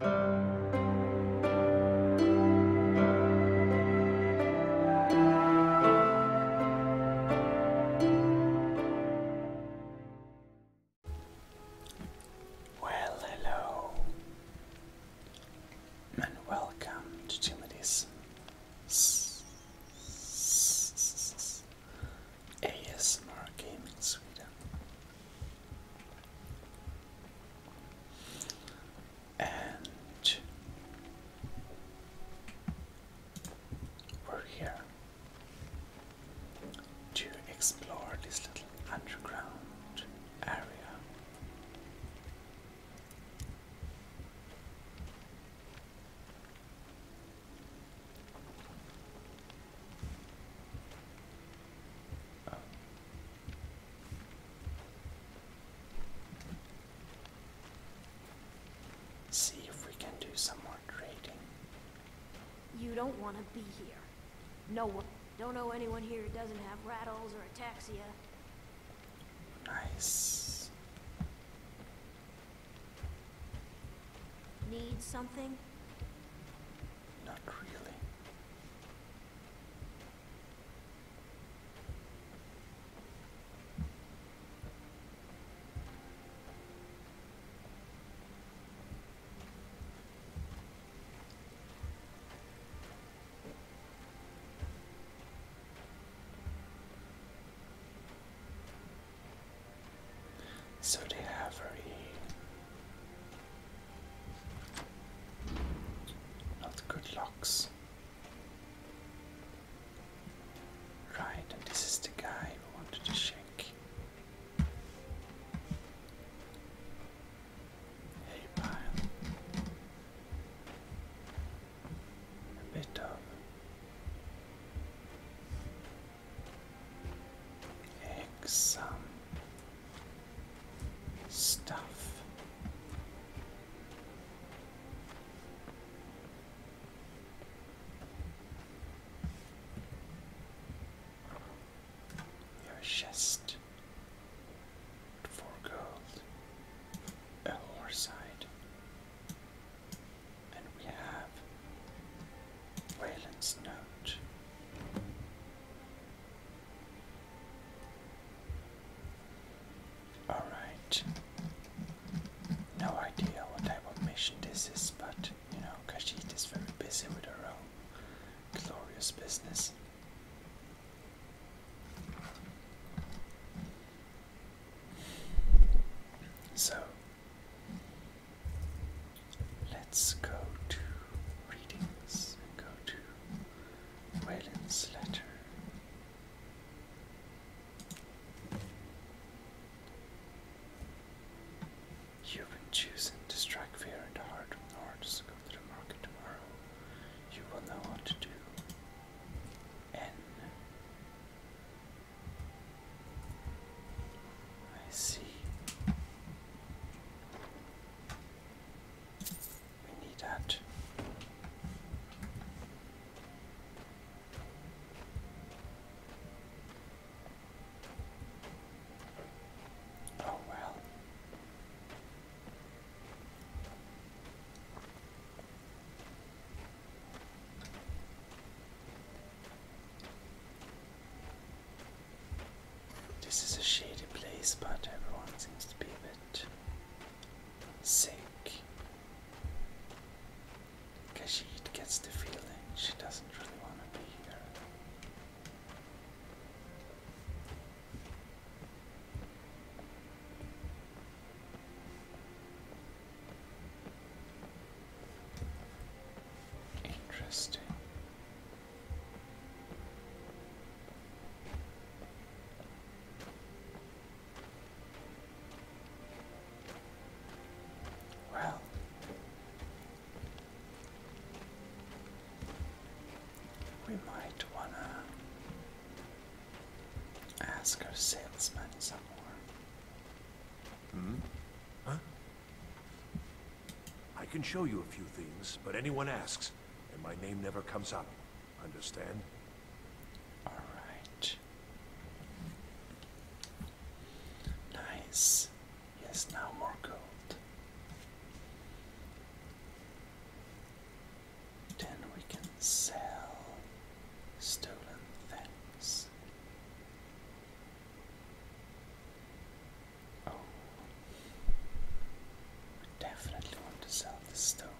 Well, hello, and welcome to Timothy's ASMR Gaming Sweden and we're here to explore this little underground area. Ah. See if we can do some more trading. You don't want to be here. No one. Don't know anyone here who doesn't have rattles or ataxia. Nice. Need something? Not really. So they have very not good locks. Right, and this is the guy we wanted to check. Hey, pile. A bit of eggs, stuff. Your chest for gold, a horse and we have Wayland's note. Alright. No idea what type of mission this is, but you know, Kashid is very busy with her own glorious business. So, Let's go to readings go to Wayland's letter. You've been chosen to strike fear in the heart of the North, go to the market tomorrow. You will know what to do. N. I see. We need that. Oh, well. This is a shady place, but everyone seems to be a bit sick. Kashid gets the feeling she doesn't really want to be here. Interesting. Well, we might want to ask our salesman some more. Hmm? Huh? I can show you a few things, but anyone asks, and my name never comes up. Understand? All right. Nice. Yes, now more gold. Then we can sell stolen things. Oh. definitely want to sell the stolen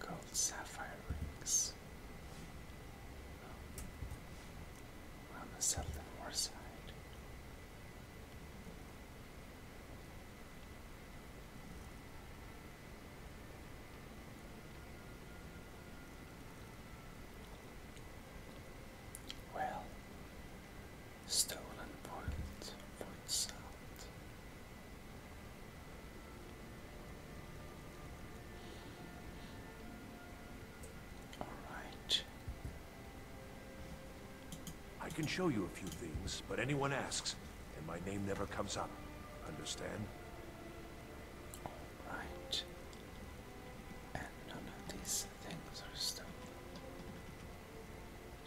gold sapphire rings. Oh. On the southern war side. Well, Stolen Void, for itself. Alright. I can show you a few things, but anyone asks, and my name never comes up. Understand? Alright. none of these things are stolen.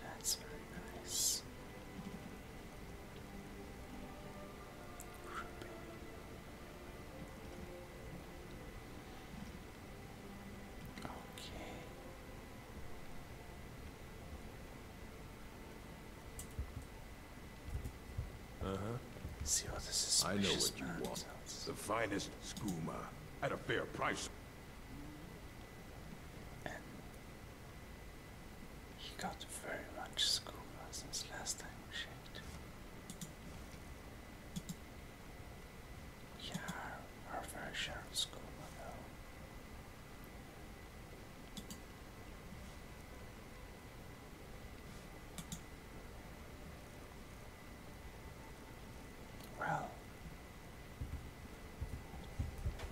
That's very nice. Okay. Uh-huh. I know what you want. The finest skooma at a fair price and he got very much scuba since last time we shaved. Yeah, our, our fair share though. Well,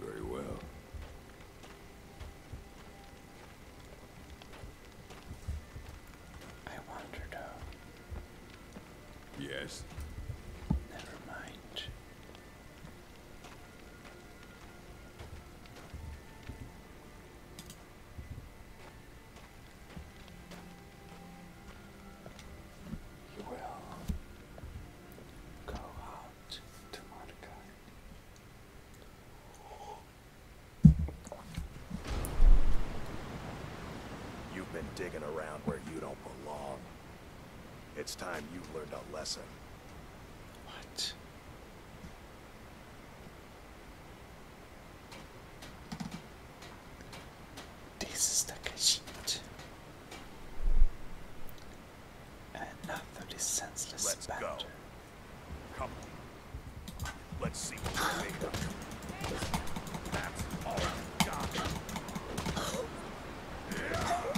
very well. I wonder Yes. Never mind. You will go out to Mordecai. You've been digging around where you don't belong. It's time you learned a lesson. What? This is the sheet. Enough of this senseless Let's Go. Let's see what we made of. That's all I've got. Yeah. Oh,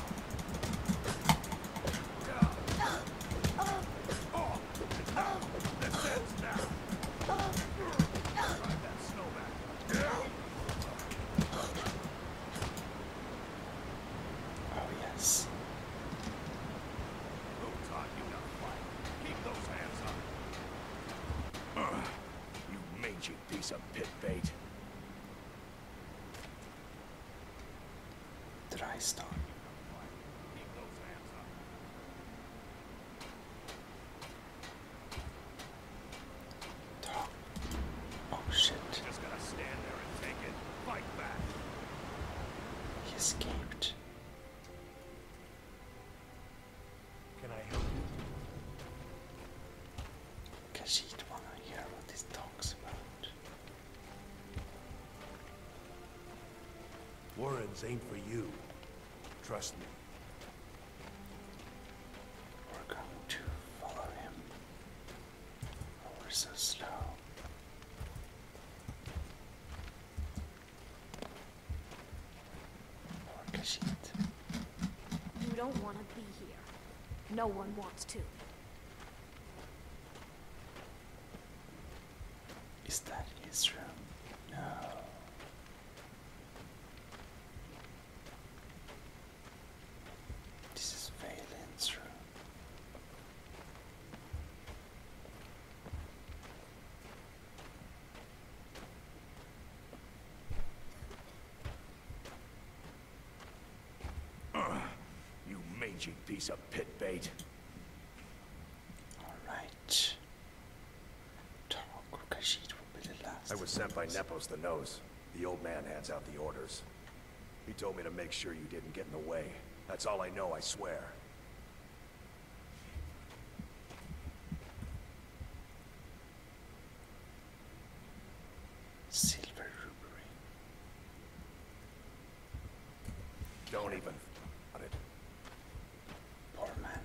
Oh, yes. Rotar, oh, you got Keep those hands up. Ugh, you mangy piece of pit bait. Did I stop? Talk. Oh shit. He escaped. Can I help you? Kashid wanna hear what this talk's about. Words ain't for you. Trust me. We're going to follow him. we're so slow. Or You don't want to be here. No one wants to. Is that his No. This is Valen's room. you mangy piece of pit bait. All right. Talk, Rukashid will be the last. I was sent by Nepos the Nose. The old man hands out the orders. He told me to make sure you didn't get in the way. That's all I know, I swear. Silver rubery. Don't even... Poor man.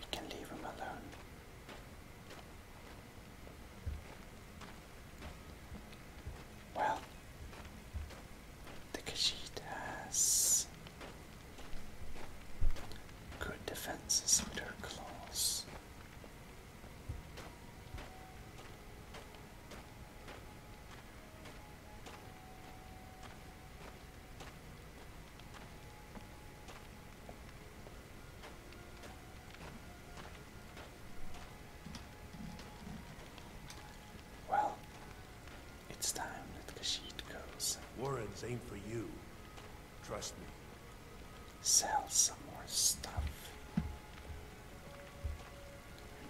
You can leave him alone. Well, the Khajiit has good defenses with her claws. Well, it's time that Kashid goes. Warren's aim for you. Trust me. Sell some more stuff. You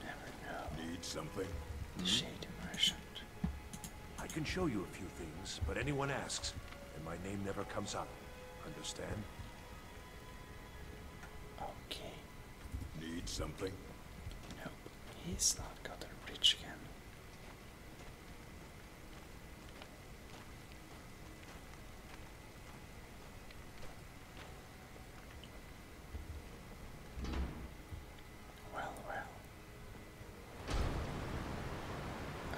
never know. Need something? The hmm? shade merchant. I can show you a few things, but anyone asks, and my name never comes up. Understand? Okay. Need something? No. He's not got a rich again. Well, well.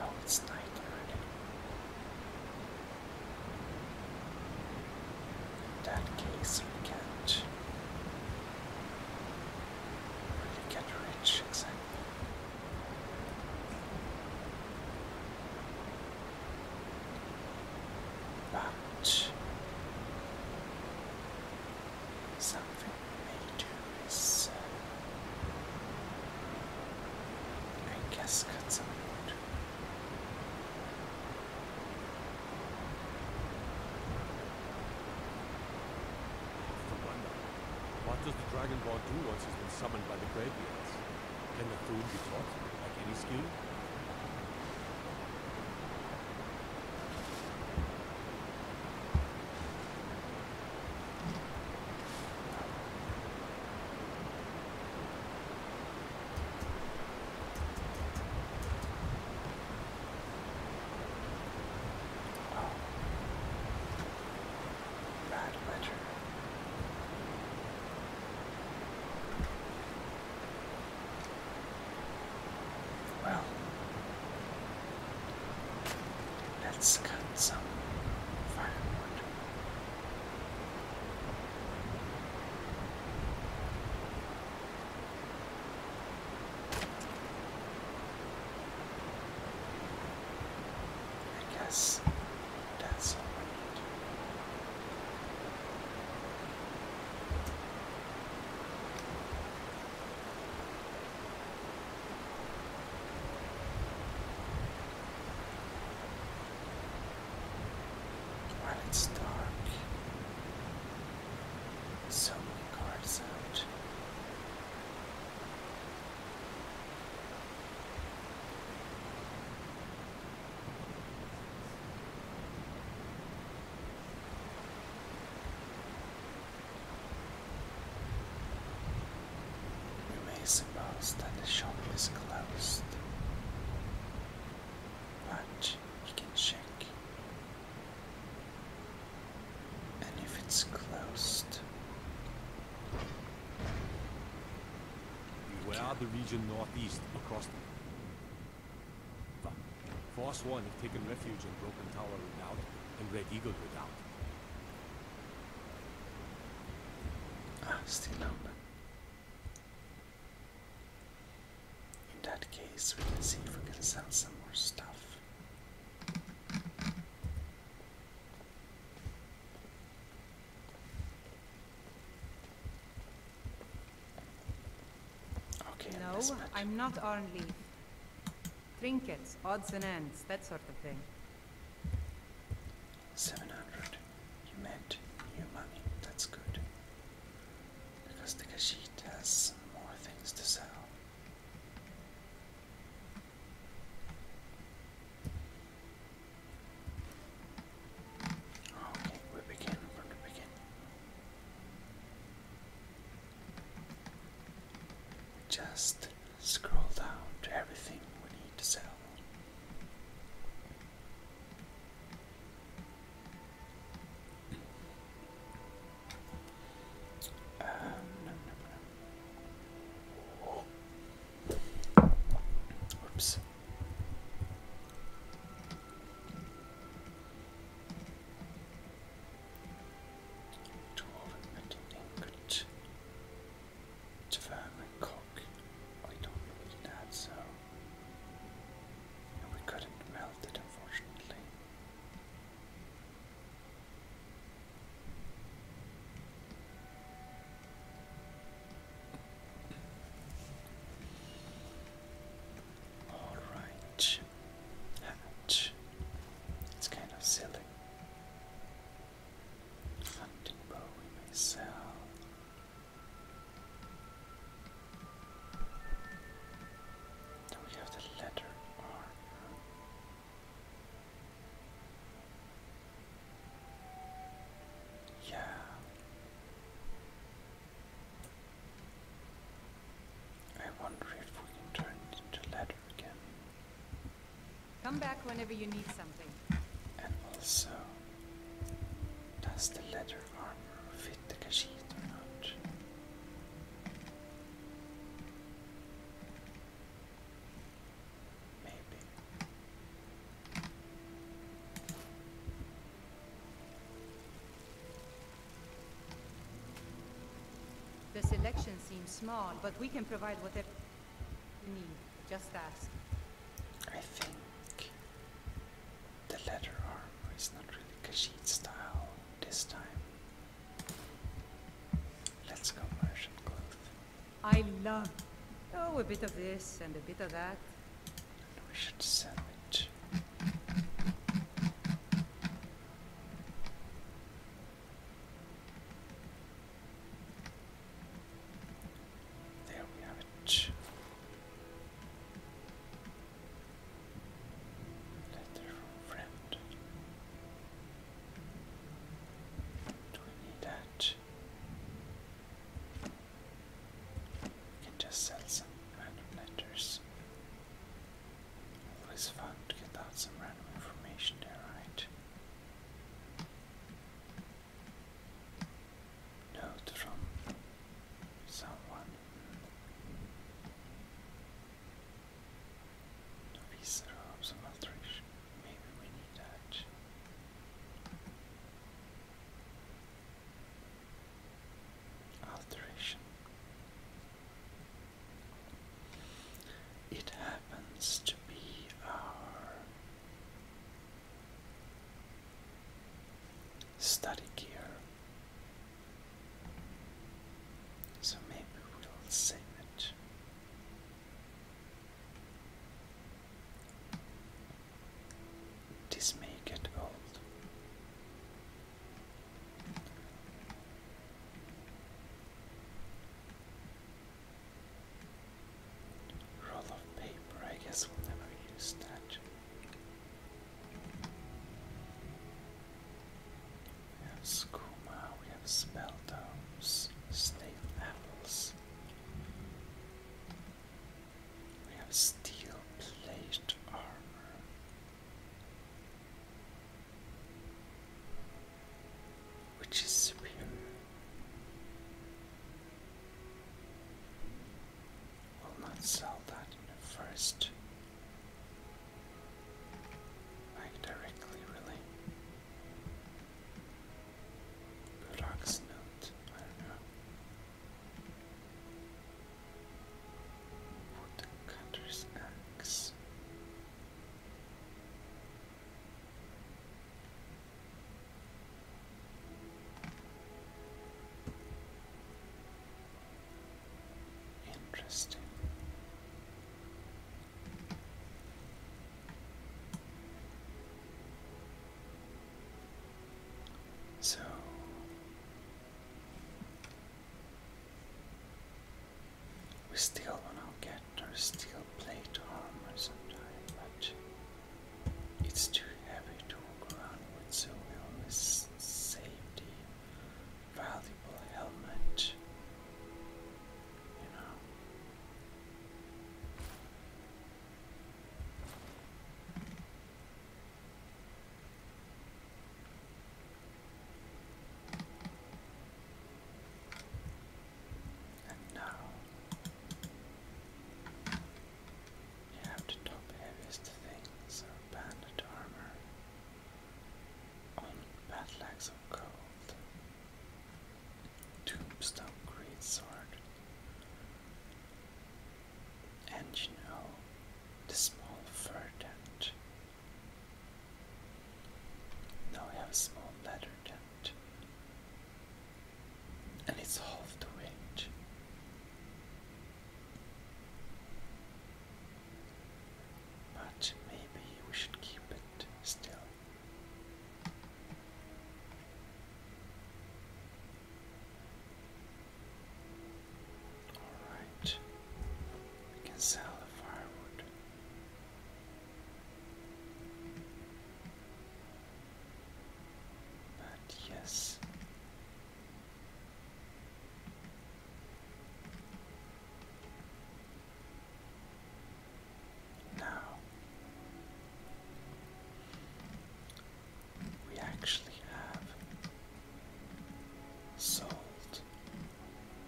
Oh, it's night already. that case, we can't get rich But something we may I guess cut some wood. What does the Dragonborn do once he's been summoned by the Greybeards? Can the fool be taught, like any skill? Bad ledger. Well, Let's cut some firewood. I guess that's all when it's dark, so many cars out. You may suppose that the shop is closed, but you can check. And if it's closed, we are the region northeast across the. Force One have taken refuge in Broken Tower Redoubt and Red Eagle Redoubt. Ah, still up. In that case, we can see if we can sell some more stuff. Okay, no, I'm not on leave. Trinkets, odds and ends, that sort of thing. Seven hundred. You made new money. That's good. Because the Kashit has some more things to sell. Okay, we begin. We're going Just Scroll down to everything we need to sell. Um, no, no, no. Oops. Dwarven metal ingot. Javan and Cook, I don't really that, so we couldn't melt it unfortunately. All right, hatch. It's kind of silly. Hunting bow we may sell. Then we have the letter R. Yeah. I wonder if we can turn it into leather again. Come back whenever you need something. And also, does the leather armor fit the Khajiit or not? Maybe. The selection seems small, but we can provide whatever you need. Just ask. I think the leather armor is not really Khajiit style this time. Let's go merchant cloth. I love oh a bit of this and a bit of that. we should sell it. There we have it. Letter from friend. Do we need that? We can just sell some random letters. Always fun to get out some random information there, right? note from someone. Novice robes of alteration. Maybe we need that. Alteration. It happens to be our study gear. So maybe we'll save it. This may get old. Roll of paper, I guess we'll never use that. We have skooma, we have spelldomes, snail apples. We have steel plated armor. Which is superior? Will not sell that first. Like directly, really. Burak's note, I don't know. Interesting. So we still don't get. There's still plate armor sometime, but it's too heavy to walk around with, so we always save the valuable helmet. You know. And now you have the top heaviest things of bandit armor on battlaaxe of gold, tombstone greatsword, and you know the small fur tent. Now we have a small leather tent and it's half the range. But maybe we should keep it still. Alright, we can sell the firewood. But yes. Now we actually have sold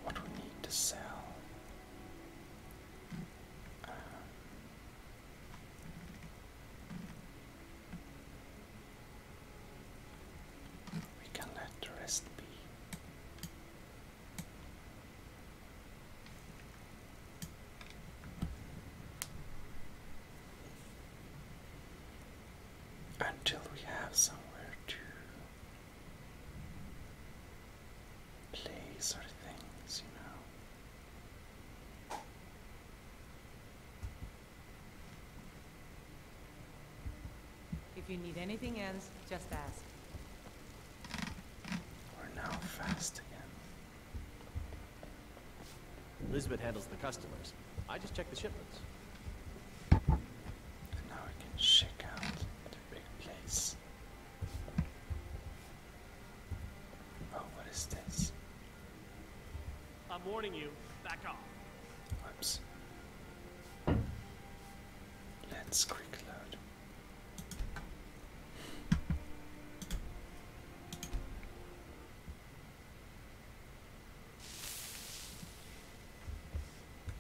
what we need to sell. Uh, we can let the rest be. Until we have somewhere to play, sort of things, you know. If you need anything else, just ask. We're now fast again. Elizabeth handles the customers. I just check the shipments. And now I can check out the big place. Oh, what is this? I'm warning you. Back off. Whoops. Let's quick load.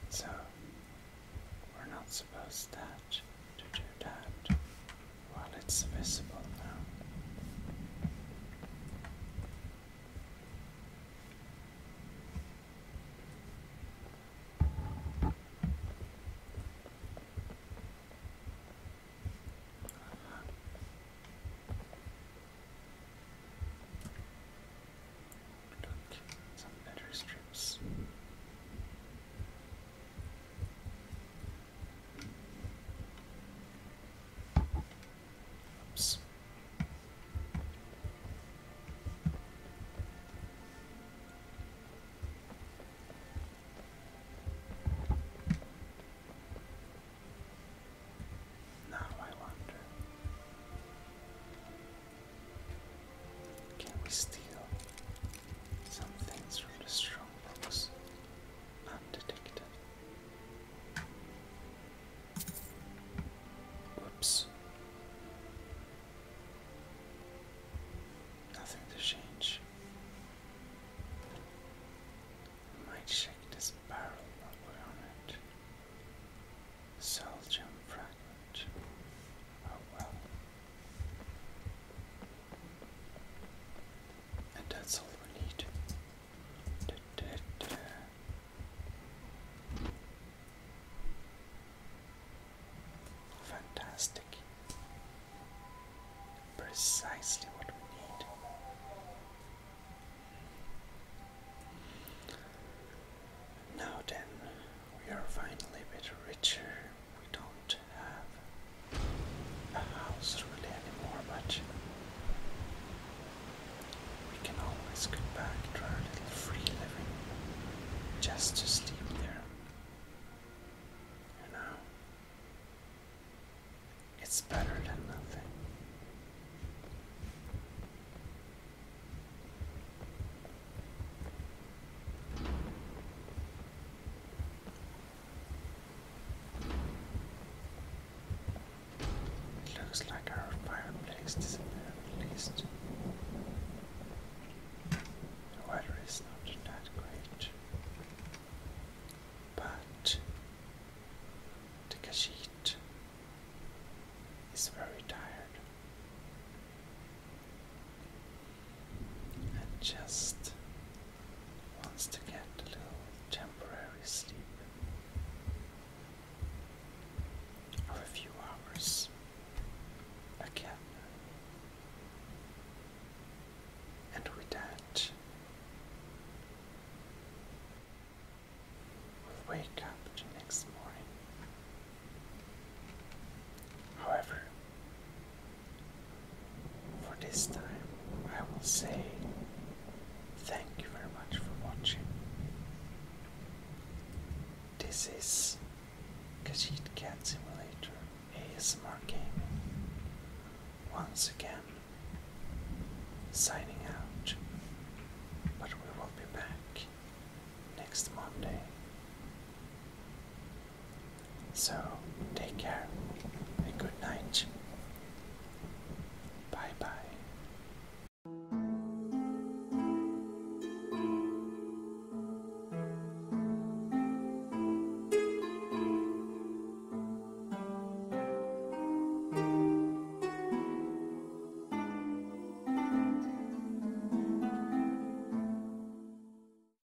So we're not supposed that to do that while it's visible now. Uh -huh. some better strips. Oops. Now I wonder, can we steal some things from the strong? undetected. Whoops. Nothing to change. might check this barrel while we're on it. Seldium fragment. Oh well. And that's all we need. Fantastic. Precisely what we need. Now then, we are finally a bit richer. We don't have a house really anymore, but we can always go back to our little free living just to sleep there. You know, it's better than nothing. It looks like our fireplace is disappeared at least. The weather is not that great. But the Khajiit is very tired and just wants to get a little temporary sleep or a few hours again. And with wake up the next morning. However, for this time, I will say thank you very much for watching. This is Cat Simulator ASMR Gaming. Once again, signing out, but we will be back next Monday. So, take care and good night. Bye bye.